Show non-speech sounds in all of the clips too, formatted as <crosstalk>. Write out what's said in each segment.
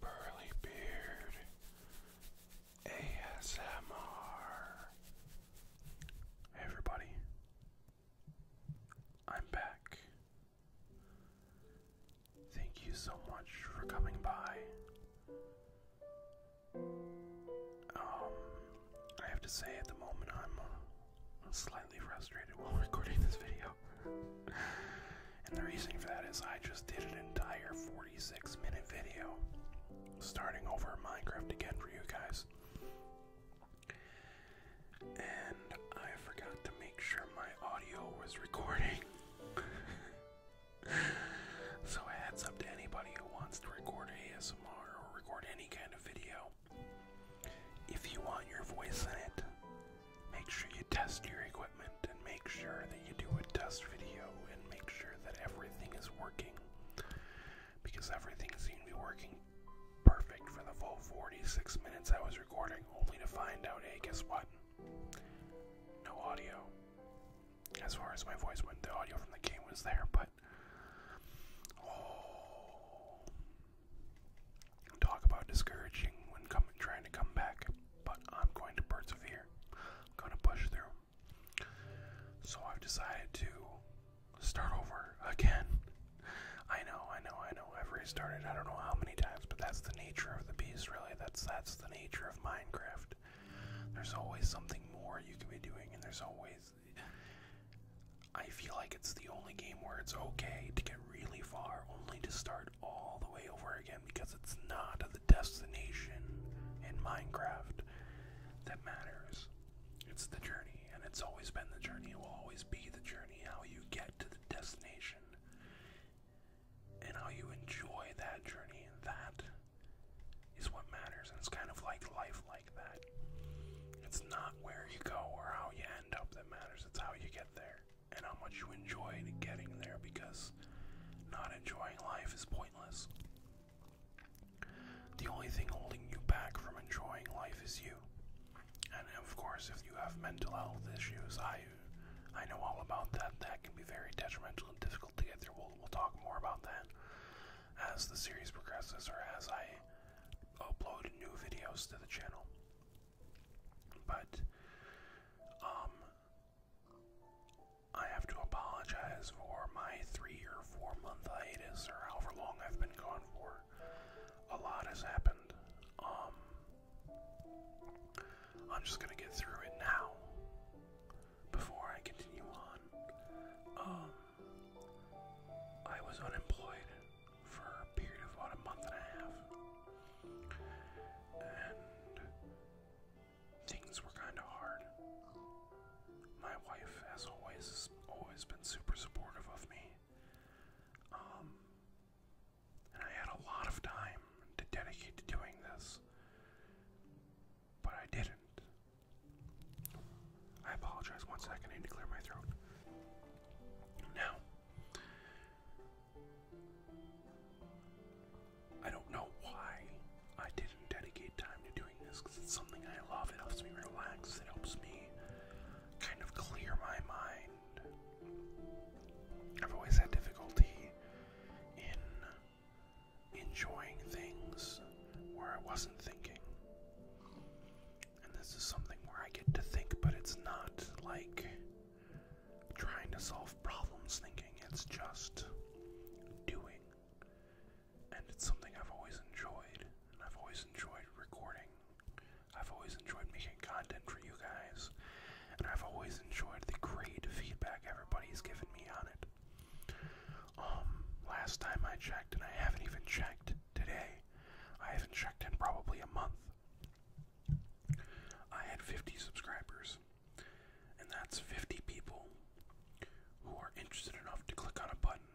Burly Beard ASMR. everybody, I'm back. Thank you so much for coming by. Um, I have to say, at the moment, I'm uh, slightly frustrated while <laughs> recording this video and the reason for that is I just did an entire 46 minute video starting over Minecraft again for you guys. And I forgot to make sure my audio was <laughs> recording. so, heads up to anybody who wants to record ASMR or record any kind of video. If you want your voice in it, Make sure you test your equipment and make sure that you do a test video and make sure that everything is working because everything seemed to be working perfect for the full 46 minutes I was recording, only to find out hey, guess what? No audio. As far as my voice went, the audio from the game was there, but. Oh. Talk about discouraging when trying to come back, but I'm going to persevere. I'm going to push through. So I've decided to start over again. I know, I know, I know. I've restarted I don't know how many times, but that's the nature of the beast, really. That's that's the nature of Minecraft. There's always something more you can be doing, and there's always I feel like it's the only game where it's okay to get really far, only to start all the way over again because it's not the destination in Minecraft that matters. It's the journey, and it's always been the journey. It will always be the journey, how you get to the destination and how you enjoy that journey. That is what matters, and it's kind of like life like that. It's not where you go or how you end up that matters, it's how you get there and how much you enjoyed getting there because not enjoying life is pointless. The only thing holding you back from enjoying life is you. And of course, if you have mental health issues, I I know all about that. That can be very detrimental and difficult to get there. We'll, we'll talk more about that as the series progresses or as I upload new videos to the channel. But um, I have to apologize for my three or four month hiatus, or however long I've been gone for. A lot has happened. Um, I'm just gonna get through it now before I continue on. Um, I was unemployed for a period of about a month and a half. And things were kind of hard. My wife, as always, has always been super supportive of me. Um, and I had a lot of time to dedicate to doing this, but I didn't. I apologize. One second, I need to clear my throat. Now, I don't know why I didn't dedicate time to doing this because it's something I love. It helps me relax, it helps me kind of clear my mind. I've always had difficulty in enjoying things where I wasn't thinking. And this is something where I get to think, but it's not like trying to solve problems, thinking it's just doing. And it's something I've always enjoyed, I've always enjoyed recording. I've always enjoyed making content for you guys, and I've always enjoyed the great feedback everybody's given me on it. Um, last time I checked, and I haven't even checked today, I haven't checked in probably a month. I had 50 subscribers, and that's 50 people who are interested enough to click on a button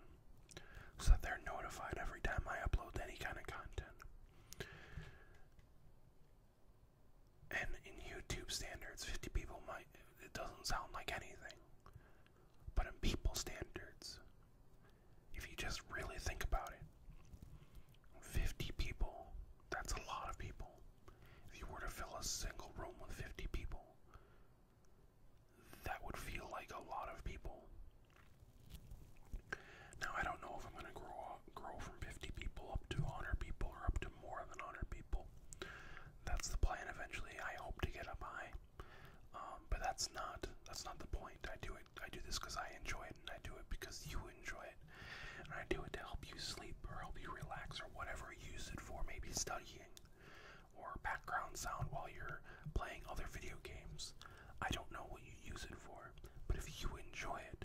so that they're notified every time I upload any kind of content. And in YouTube standards, 50 people might, it doesn't sound like anything. But in people standards, if you just really think about it. 50 people, that's a lot of people. If you were to fill a single room with 50 people, that would feel like a lot of people. Now, I don't know if I'm going to grow up, grow from 50 people up to 100 people or up to more than 100 people. That's the plan eventually. I hope to get up high. Um, but that's not that's not the point. I do it. I do this because I enjoy it, and I do it because you enjoy it. And I do it to help you sleep or help you relax or whatever you use it for, maybe studying or background sound while you're playing other video games. I don't know what you use it for, but if you enjoy it,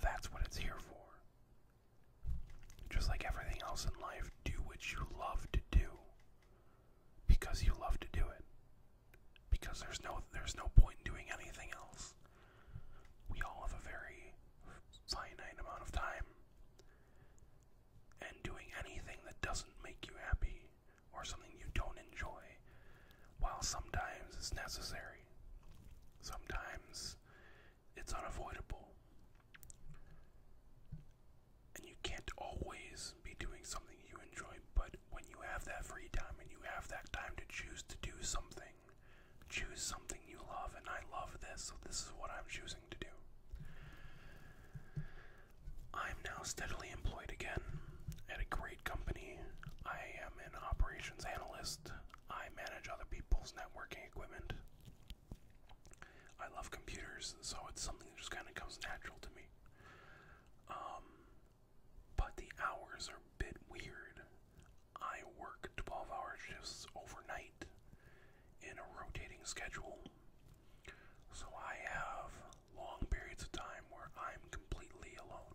that's what it's here for. Just like everything else in life, do what you love to do because you love to do it because there's no there's no point in doing anything else. We all have a very finite amount of time. And doing anything that doesn't make you happy or something you don't enjoy, while sometimes it's necessary, sometimes it's unavoidable. And you can't always be doing something you enjoy, but when you have that free time and you have that time to choose to do something, choose something you love, and I love this, so this is what I'm choosing to do. I'm now steadily employed again at a great company. I am an operations analyst. I manage other people's networking equipment. I love computers, so it's something that just kind of comes natural to me. Um, but the hours are a bit weird. I work 12 hour shifts overnight in a rotating schedule. So I have long periods of time where I'm completely alone.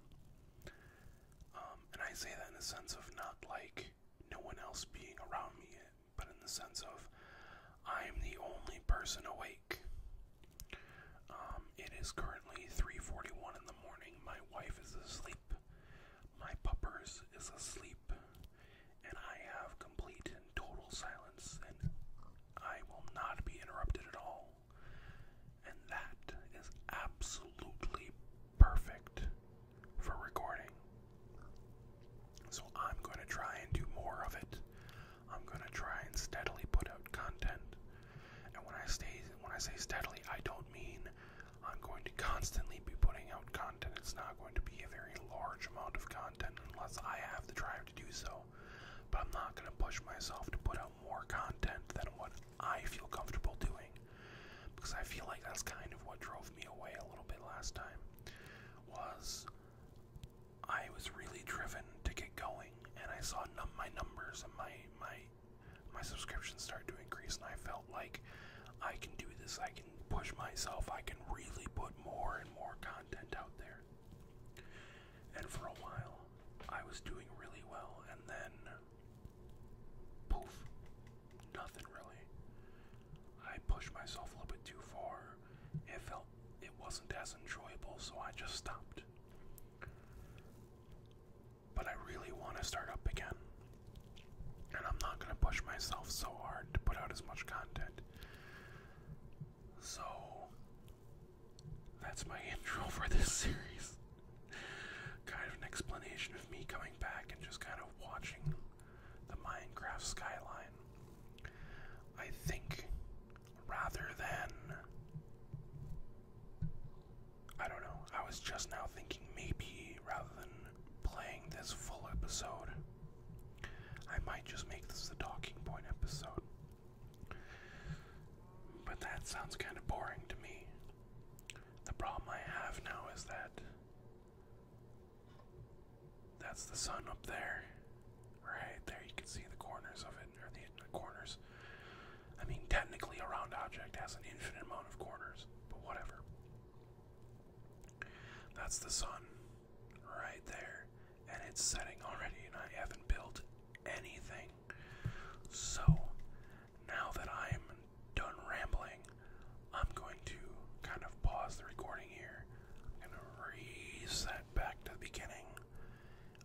Um, and I say that in the sense of not like no one else being around me, but in the sense of I'm the only person awake um, it is currently 3:41 in the morning. My wife is asleep. My puppers is asleep, and I have complete and total silence, and I will not be interrupted at all. And that is absolutely perfect for recording. So I'm going to try and do more of it. I'm going to try and steadily put out content. And when I stay, when I say steadily, I don't mean I'm going to constantly be putting out content. It's not going to be a very large amount of content unless I have the drive to do so. But I'm not going to push myself to put out more content than what I feel comfortable doing. Because I feel like that's kind of what drove me away a little bit last time. Was I was really driven to get going, and I saw num my numbers and my my my subscriptions started to increase and I felt like I can do this, I can push myself, I can really put more and more content out there. And for a while, I was doing really well, and then poof, nothing really. I pushed myself a little bit too far. It felt it wasn't as enjoyable, so I just stopped. But I really want to start up again. And I'm not going to push myself so hard to put out as much content. So, that's my <laughs> intro for this series. kind of an explanation of me coming back and just kind of watching the Minecraft skyline. I think rather than I don't know. I was just now thinking maybe rather than playing this full episode, I might just make this the talking point episode. But that sounds kind of boring to me. The problem I have now is that that's the sun up there. Right there, you can see the corners of it inside the, corners. I mean, technically, a round object has an infinite amount of corners, but whatever. That's the sun right there, and it's setting already, and I haven't built anything. So, now that I'm done rambling, I'm going to kind of pause the recording here. I'm going to reset back to the beginning.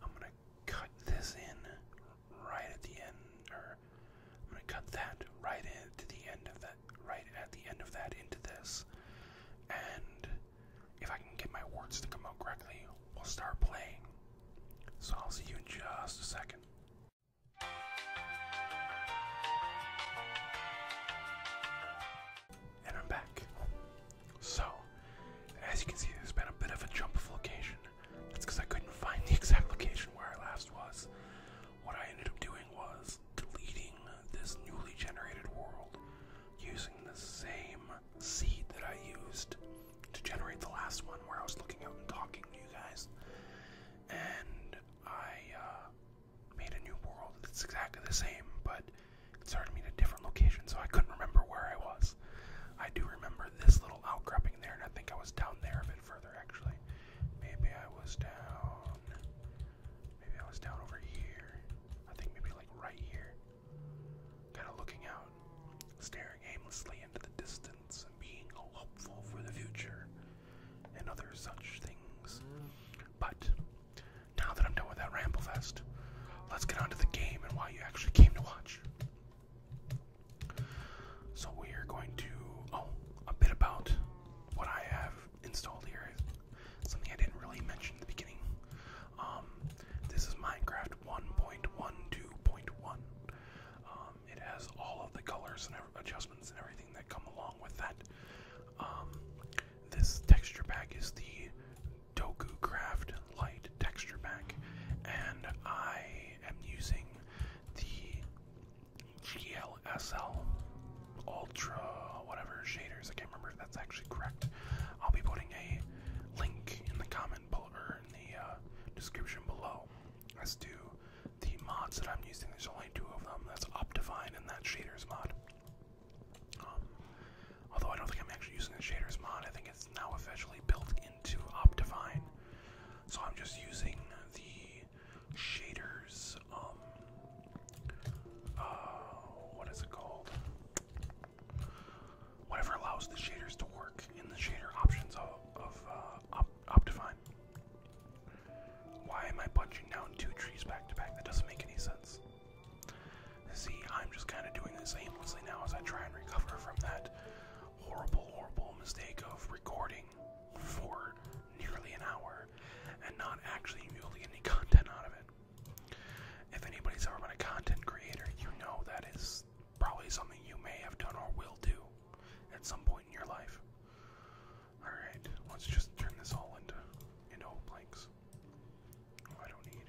I'm going cut this in right at the end, or I'm gonna cut that right into the end of that, right at the end of that into this. And if I can get my words to come out correctly, we'll start playing. So I'll see you in just a second. And I'm back. So, as you can see, there's been a bit of a jump of location. That's because I couldn't find the <laughs> exact location where I last was. What I ended up doing was deleting this newly generated world using the same seed that I used to generate the last one where I was looking out and talking to you guys. And I uh, made a new world that's exactly the same, but it started me in a different location, so I couldn't remember where I was. I do remember this little outcropping there, and I think I was down there a bit further actually. Maybe I was down. Maybe I was down over here. I think maybe like right here. Kind of looking out, staring aimlessly into the distance, and being hopeful for the future, and other such things. But now that I'm done with that ramble fest, let's get on to the game and why you actually came to watch. So we are going to oh a bit about what I have installed here. Something I didn't really mention in the beginning. Um, this is Minecraft 1.12.1. Um, it has all of the colors and adjustments and everything that come along with that. Um, this texture pack is the Doku Craft Light Texture Pack, and I am using the GLSL Ultra whatever shaders. I can't remember if that's actually correct. I'll be putting a link in the comment below, or in the uh, description below as to the mods that I'm using. There's only two of them. That's Optifine and that shaders mod. Um, Although I don't think I'm actually using the shaders mod, I think it's now officially built into Optifine. So I'm just using the shaders, um, uh, what is it called? Whatever allows the shaders to work in the shader options of, of uh, Optifine. Why am I punching down two trees back to back? That doesn't make any sense. See, I'm just kind of doing this aimlessly now as I try and recover from that horrible, horrible mistake of recording for nearly an hour and not actually really any <laughs> content out of it. If anybody's ever been a content creator, you know that is probably something you may have done or will do at some point in your life. Alright, let's just turn this all into into old oh, I don't need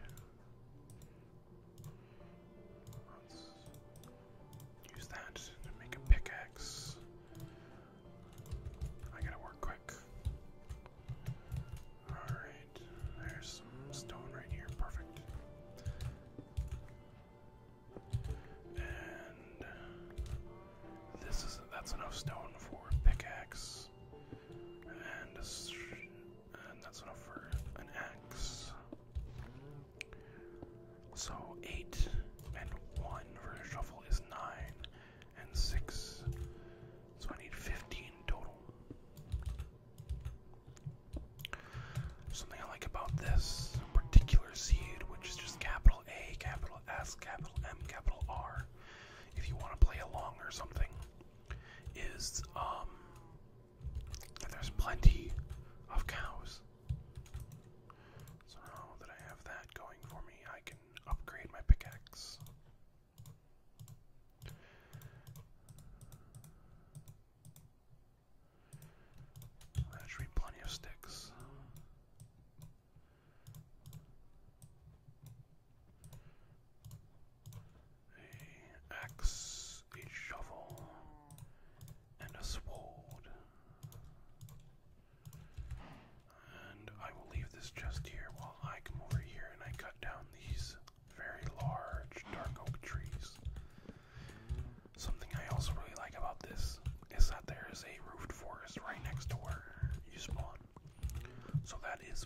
use that to make a pickaxe. I gotta work quick. Alright, there's some stone right here. Perfect. And this is that's enough stone for a pickaxe and and that's enough for an X. So eight and one for a shovel is nine, and six. So I need fifteen total. Something I like about this particular seed, which is just capital A, capital S, capital M, capital R, if you want to play along or something, is um and there's plenty of cows. So now that I have that going for me, I can upgrade my pickaxe. That should be plenty of sticks a axe, a shovel, and a sword. And I will leave this just here while I come over here and I cut down these very large dark oak trees. Something I also really like about this is that there is a roofed forest right next to where you spawn. So that is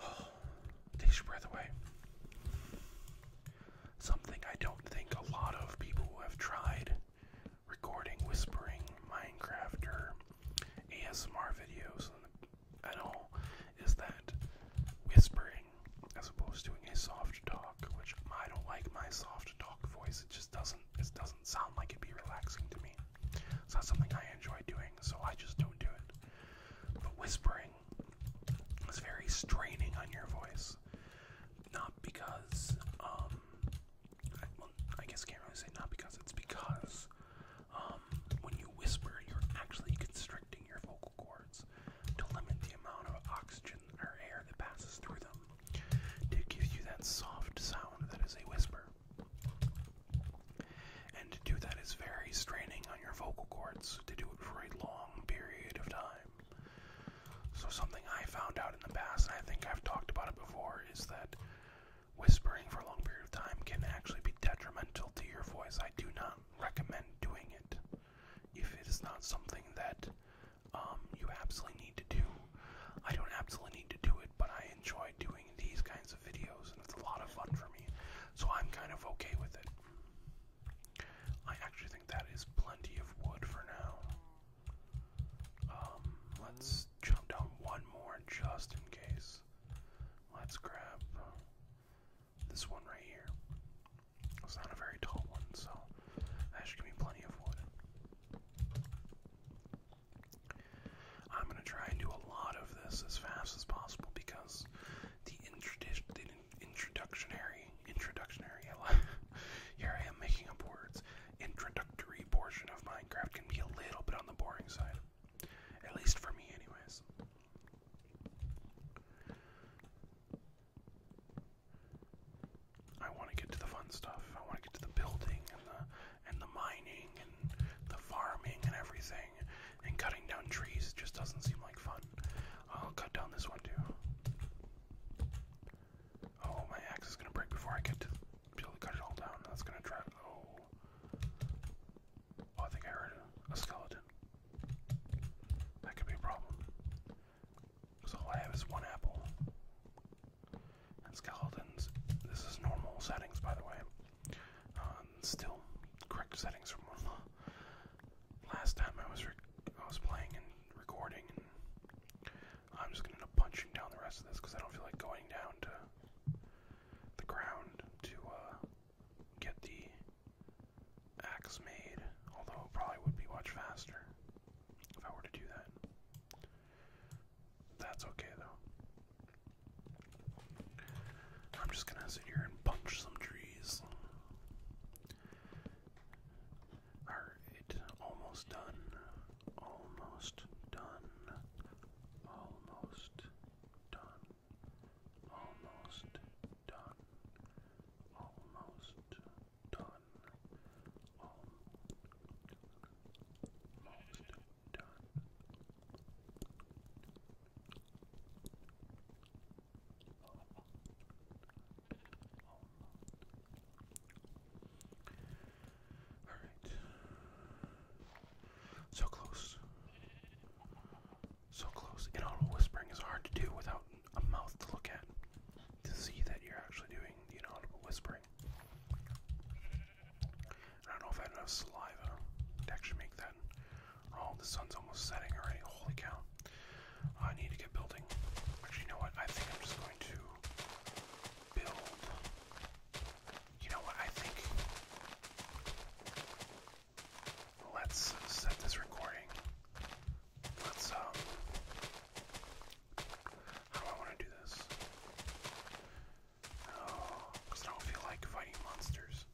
Oh, <sighs> takes your breath away. Something I don't think a lot of people who have tried recording, whispering, Minecraft, or ASMR videos at all is that whispering as opposed to doing a soft talk, which I don't like my soft talk voice. It just doesn't it doesn't sound like it'd be relaxing to me. It's not something I enjoy doing, so I just don't do it. But whispering is very straining on your voice. Not because, um, I, well, I guess I can't really say not because, it's because, um, when you whisper, you're actually constricting your vocal cords to limit the amount of oxygen or air that passes through them. It gives you that soft sound that is a whisper. And to do that is very straining on your vocal cords to do it for a long period of time. So, something I found out in the past, I think I've talked about it before, is that whispering for a long period of time can actually be detrimental to your voice. I do not recommend doing it if it is not something that um, you absolutely need to do. I don't absolutely need to do it, but I I enjoy doing these kinds of videos, and it's a lot of fun for me. So I'm kind of okay with it. I actually think that is plenty of wood for now. Um, let's jump down one more just in case. Let's grab this one right here. It's not a very tall one, so that should give me plenty of wood. I'm going to try and do a lot of this as fast as possible because the, introdu the introductionary, introductionary, <laughs> here I am making up words, introductory portion of Minecraft can be a little bit on the boring side. At least for me, anyways. I want to get to the fun stuff. I want to get to the building and the and the mining and the farming and everything. And cutting down trees just doesn't seem like fun. I'll cut down this one too. Oh, my axe is gonna break before I get to to cut it all down. That's gonna try. Oh. oh. I think I heard a skeleton. That could be a problem. Because all I have is one apple. And skeletons. This is normal settings, by the way. Uh, still correct settings from uh, last time I was I was playing and recording, I'm just gonna end up punching down the rest of this because I don't feel like going down to the ground to uh, get the axe made. Although it probably would be much faster if I were to do that. That's okay though. I'm just gonna sit here and punch some trees. Alright, almost done. Almost done. Almost done. Almost done. Almost done. Almost Alright. So close. So close. Inaudible whispering is hard to do without a mouth to look at to see that you're actually doing the inaudible whispering. I don't know if I have enough saliva to actually make that. Oh, the sun's almost setting already. Holy cow. I need to get building. Actually, you know what? I think I'm just going to build. You know what? I think. Let's set this recording. Let's, um. How do I want to do this? Because I don't feel like fighting monsters.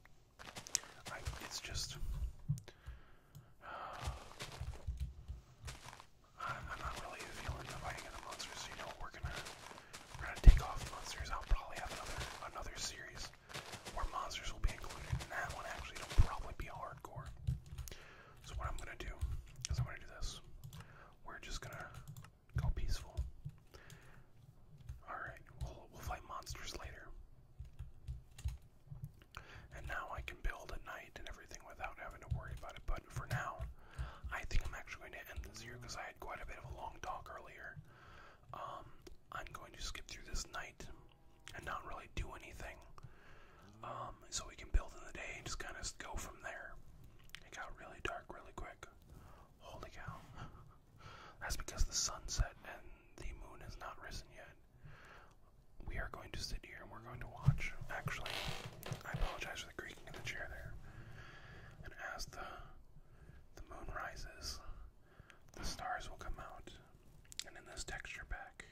it's just. <sighs> I'm not really feeling the fighting of the monsters, you know we're gonna we're gonna take off monsters. I'll probably have another another series where monsters will be included, and that one actually will probably be hardcore. So what I'm gonna do is I'm gonna do this. We're just gonna Go peaceful. Alright, we'll, fight monsters later. And now I can build a knight and everything without having to worry about it. But for now, I think I'm actually going to end this here because I had quite a bit of a long talk earlier. Um, I'm going to skip through this night and not really do anything. Um, so we can build in the day and just kind of go from there. It got really dark really quick. Holy cow. That's because the sun set and the moon has not risen yet. We are going to sit here and we're going to watch. Actually, I apologize for the creaking of the chair there. And as the the moon rises, the stars will come out. And in this texture pack,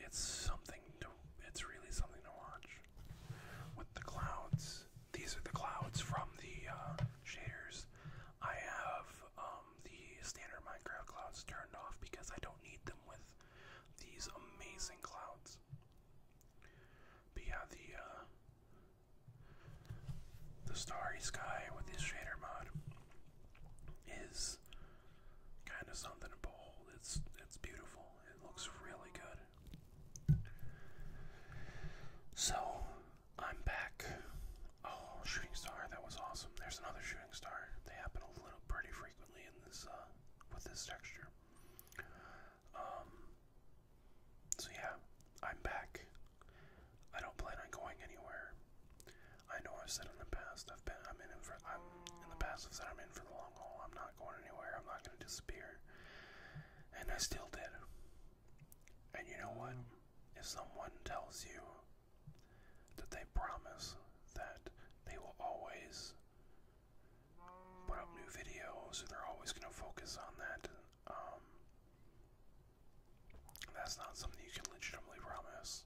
it's something to it's really something to watch. With the clouds these are the clouds from the uh, shaders. I have um, the standard Minecraft clouds turned off because I don't need them with these amazing clouds. But yeah, the uh, the starry sky with this shader mod is kind of something to behold. It's it's beautiful. It looks really good. So I'm back. Oh, shooting star, that was awesome. There's another shooting star. They happen a little pretty frequently in this uh, with this texture. Um. So yeah, I'm back. I don't plan on going anywhere. I know I've said in the past I've been I'm in for I'm in the past I've said I'm in for the long haul. I'm not going anywhere. I'm not going to disappear. And I still did. And you know what? If someone tells you that they promise that they will always put up new videos, or they're always going to focus on that, um, that's not something you can legitimately promise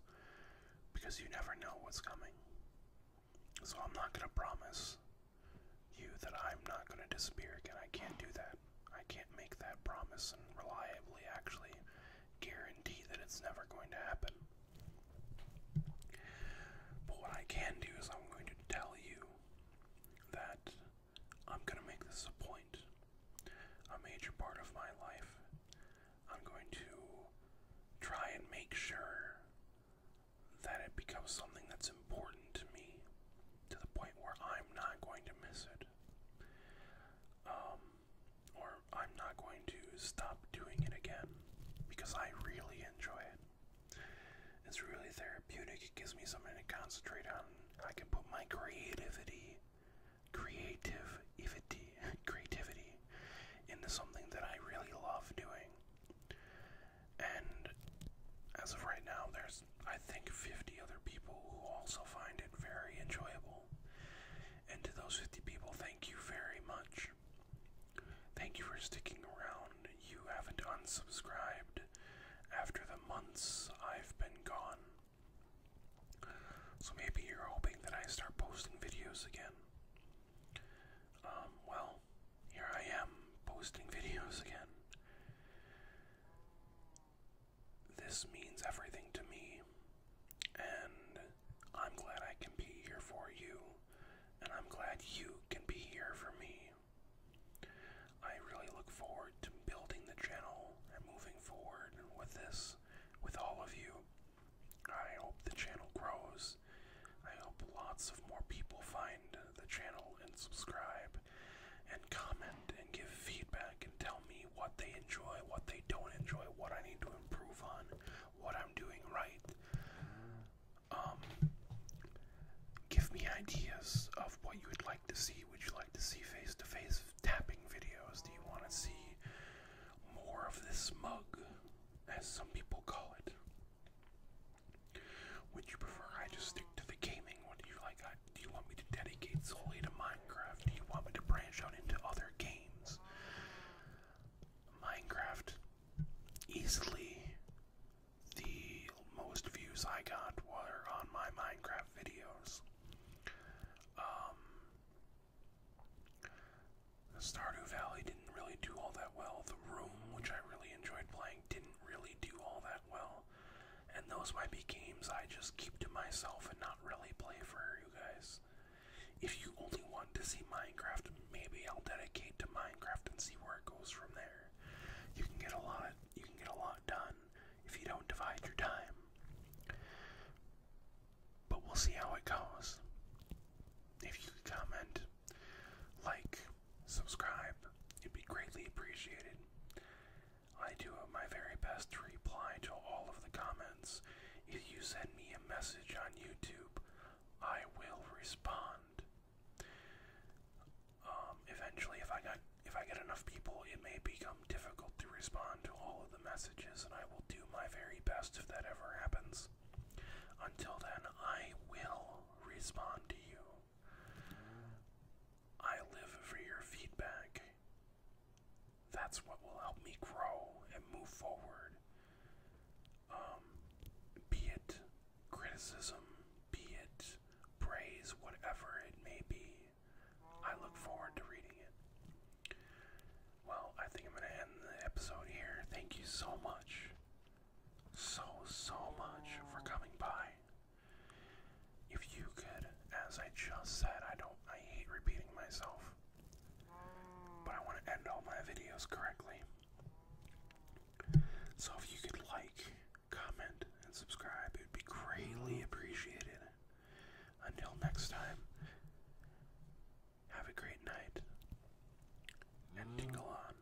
because you never know what's coming. So I'm not going to promise you that I'm not going to disappear again. I can't do that. I can't make that promise and reliably actually guarantee that it's never going to happen. But what I can do is I'm going to tell you that I'm going to make this a point, a major part of my life. I'm going to try and make sure that it becomes something that's important to me to the point where I'm not going to miss it. Um, or I'm not going to stop doing it again because I really enjoy it. It's really therapeutic. It gives me something to concentrate on. I can put my creativity, creative, creativity into something that I really love doing. And as of right now, there's, I think, 50 other people who also find it very enjoyable. And to those 50 people, thank you very much. Thank you for sticking around. You haven't unsubscribed after the months I've been gone. So maybe you're hoping that I start posting videos again. Um, well, here I am, posting <laughs> videos again. This means everything to me, and I'm glad I can be here for you, and I'm glad you can be here for me. I really look forward to building the channel and moving forward with this, with all of you. I hope the channel grows. I hope lots of more people find the channel and subscribe and comment and give feedback and tell me what they enjoy, what they don't enjoy, what I need to improve on, what I'm doing right. Um, give me ideas of what you would like to see. Would you like to see face to face tapping videos? Do you want to see more of this mug, as some people call it? Would you prefer I just stick to the gaming? What do you like? I, do you want me to dedicate solely to Minecraft? Do you want me to branch out into other games? Minecraft, easily the most views I got were on my Minecraft videos. Um, Stardew Valley didn't really do all that well. The Room, which I really enjoyed playing, didn't really do all that well. And those might be games I just keep to myself and not really play for you guys. If you only want to see Minecraft, maybe I'll dedicate to Minecraft and see where it goes from there. You can get a lot you can get a lot done if you don't divide your time. But we'll see how it goes. If you comment, like, subscribe. It'd be greatly appreciated. I do my very best to reply to all of the comments. If you send me a message on YouTube, I will respond. Um, eventually, if I got if I get enough people, it may become difficult to respond to all of the messages, and I will do my very best if that ever happens. Until then, I will respond to you. I live for your feedback. That's what will help me grow and move forward. Um, be it criticism, be it praise, whatever it may be, I look forward to reading it. Well, I think I'm going to end the episode here. Thank you so much, so, so much for coming by. If you could, as I just said, I don't, I hate repeating myself, but I want to end all my videos correctly. So if you could like, comment, and subscribe, it would be greatly appreciated. Until next time, have a great night and tingle on.